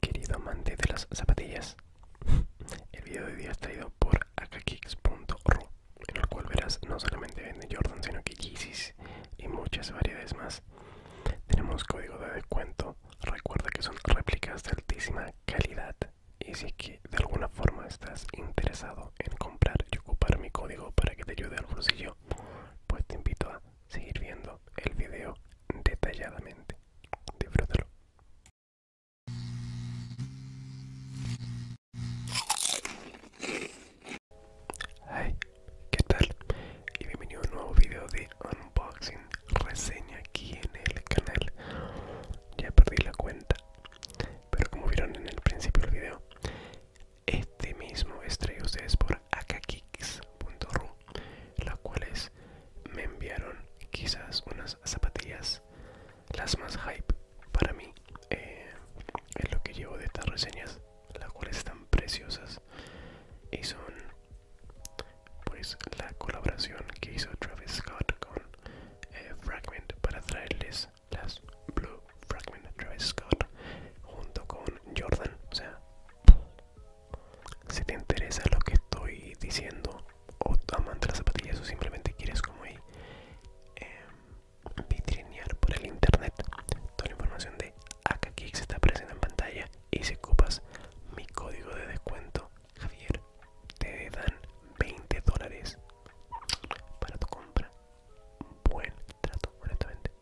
Querido amante de las zapatillas, el video de hoy día es traído por akkix.ru en el cual verás no solamente vende Jordan, sino que Yeezys y muchas variedades más. Tenemos código de descuento, recuerda que son réplicas de altísima calidad y si que de alguna forma estás interesado en comprar y ocupar mi código para que te ayude al bolsillo, pues te invito a seguir viendo el video detalladamente. Disfrútalo. Hi, ¿qué tal? Y bienvenido a un nuevo video de unboxing, reseña aquí en el canal. Ya perdí la cuenta, pero como vieron en el principio del video, este mismo estrella ustedes por akkicks.ru las cuales me enviaron quizás unas zapatillas las más hype para mí es eh, lo que llevo de estas reseñas las cuales están preciosas y son pues la colaboración que hizo Travis Scott con eh, Fragment para traerles las Blue Fragment Travis Scott junto con Jordan o sea si te interesa lo que estoy diciendo o amante las zapatillas o simplemente quieres como ahí em, vitrinear por el internet, toda la información de se está apareciendo en pantalla y si ocupas mi código de descuento, Javier, te dan 20 dólares para tu compra. Buen trato, honestamente.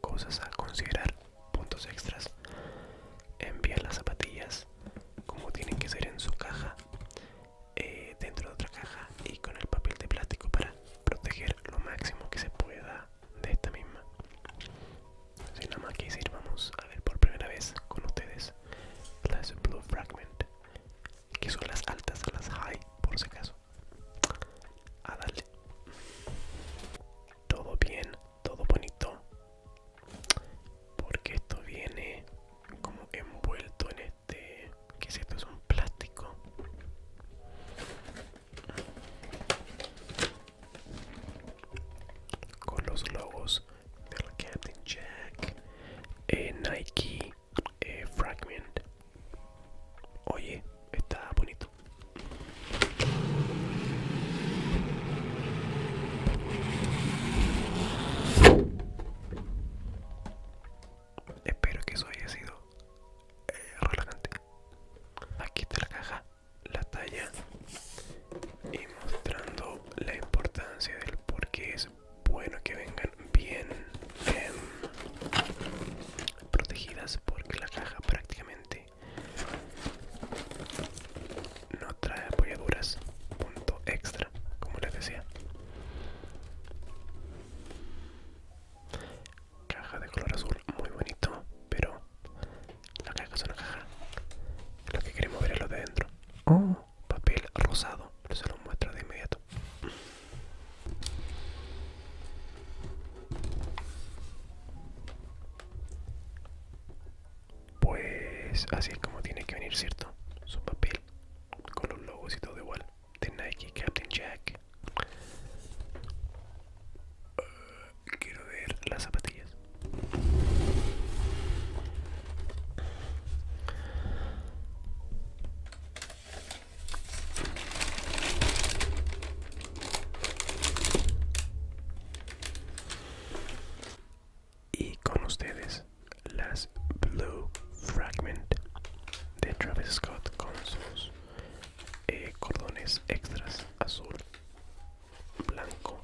Cosas a considerar, puntos extras. Envía las zapatillas como tienen que ser en su caja, eh, dentro de otra caja y con el papel de plástico para proteger lo máximo que se pueda de esta misma. si nada más que decir, vamos a ver por primera vez con ustedes las Blue Fragment, que son las altas, las high, por si acaso. A ah, darle todo bien, todo bonito, porque esto viene como envuelto en este, que es esto? Es un plástico. Con los logos del Captain Jack, eh, Nike, eh, Fragment. Oye, está bonito. Espero que eso haya sido eh, relajante. Aquí está la caja, la talla y mostrando la importancia del por qué es bueno que vengan bien protegidas porque la caja prácticamente no trae apoyaduras punto extra como les decía caja de color azul muy bonito pero la caja es una caja lo que queremos ver es lo de dentro oh papel rosado se lo muestro de inmediato pues así es como tiene que venir, ¿cierto? Su papel con los logos y todo igual de Nike, Captain Jack. Ah, quiero ver las zapatillas. Y con ustedes, las Blue Fragment de Travis Scott con sus eh, cordones extras azul, blanco.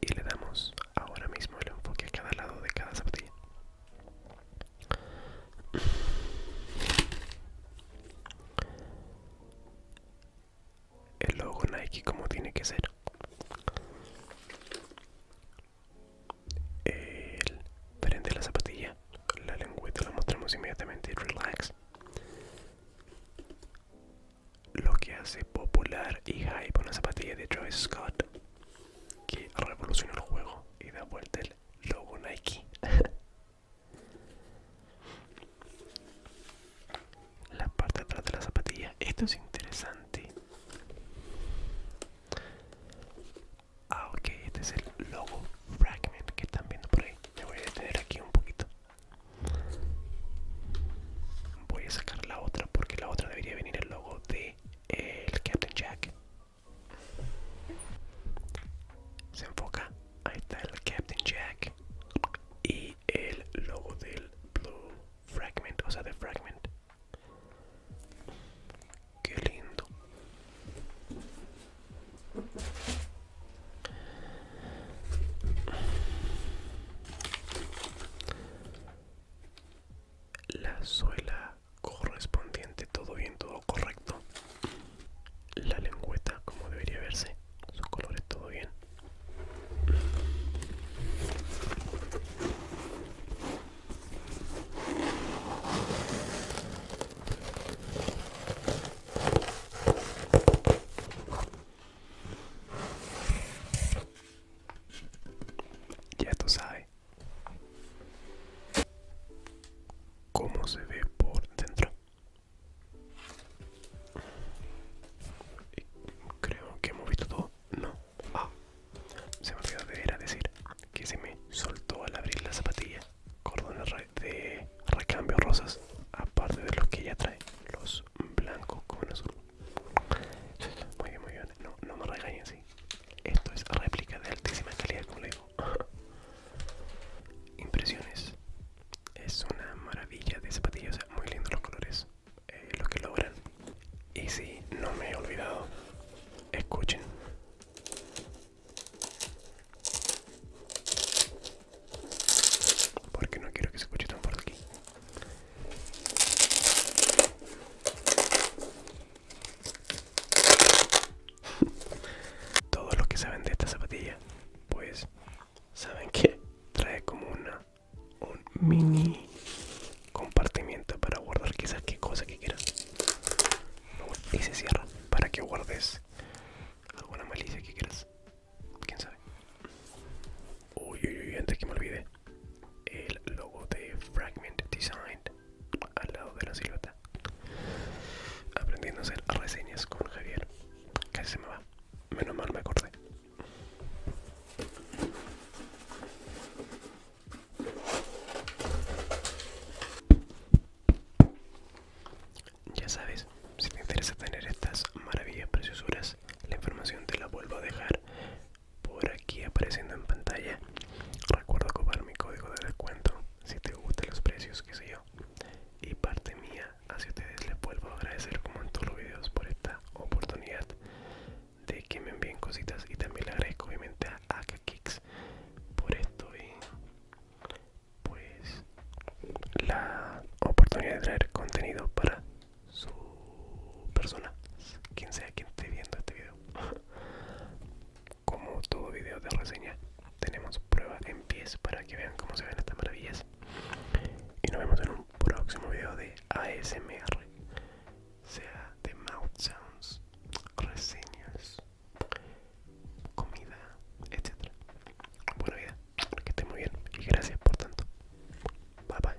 Y le damos ahora mismo el enfoque a cada lado de cada zapatilla el logo Nike como tiene que ser el de la zapatilla la lengüeta la mostramos inmediatamente relax lo que hace popular y hype una zapatilla de Travis Scott que revoluciona el juego y da vuelta el logo Nike la parte de atrás de la zapatilla esto es interesante ah ok este es el logo fragment que están viendo por ahí me voy a detener aquí un poquito voy a sacar la otra porque la otra debería venir el logo de eh, el captain jack se enfoca Ahí está el Captain Jack y el logo del Blue Fragment, o sea, de Fragment. Qué lindo. La suela correspondiente, todo bien, todo correcto la lengüeta como debería verse, sus colores todo bien. Ya tú sabes cómo se ve por dentro creo que hemos visto todo. No. Ah. Se me olvidó de ir a decir que se me soltó al abrir la zapatilla. Cordones de recambio rosas. Aparte de los que ya trae. Los blancos con azul. Muy bien, muy bien. No, no me regañen, Esto es réplica de altísima calidad, como le digo. Impresiones. Es una maravilla de zapatillas, muy lindos los colores, eh, Los lo que logran. Y si no me he olvidado, escuchen. Porque no quiero que se escuche tan fuerte aquí. Todos los que saben de esta zapatilla, pues saben que trae como una un mini compartimiento para guardar quizás qué cosa que quieras. Y se cierra para que guardes alguna malicia que quieras. Quién sabe. Uy, uy, uy, antes que me olvide. El logo de Fragment Design al lado de la silueta. Aprendiendo a hacer reseñas con Javier. Casi se me va. Menos mal me acordé. Ya sabes, si te interesa tener estas maravillas preciosuras, la información te la vuelvo a dejar por aquí apareciendo en pantalla. Recuerda copiar mi código de descuento si te gustan los precios que se yo y parte mía hacia ustedes les vuelvo a agradecer como en todos los videos por esta oportunidad de que me envíen cositas y también le agradezco obviamente a AKKIX por esto y pues la oportunidad de traer contenido para su persona quien sea quien esté viendo este video como todo video de reseña tenemos prueba en pies para que vean cómo se ven estas maravillas y nos vemos en un próximo video de ASMR sea de mouth sounds reseñas comida etcétera buena vida que esté muy bien y gracias por tanto bye bye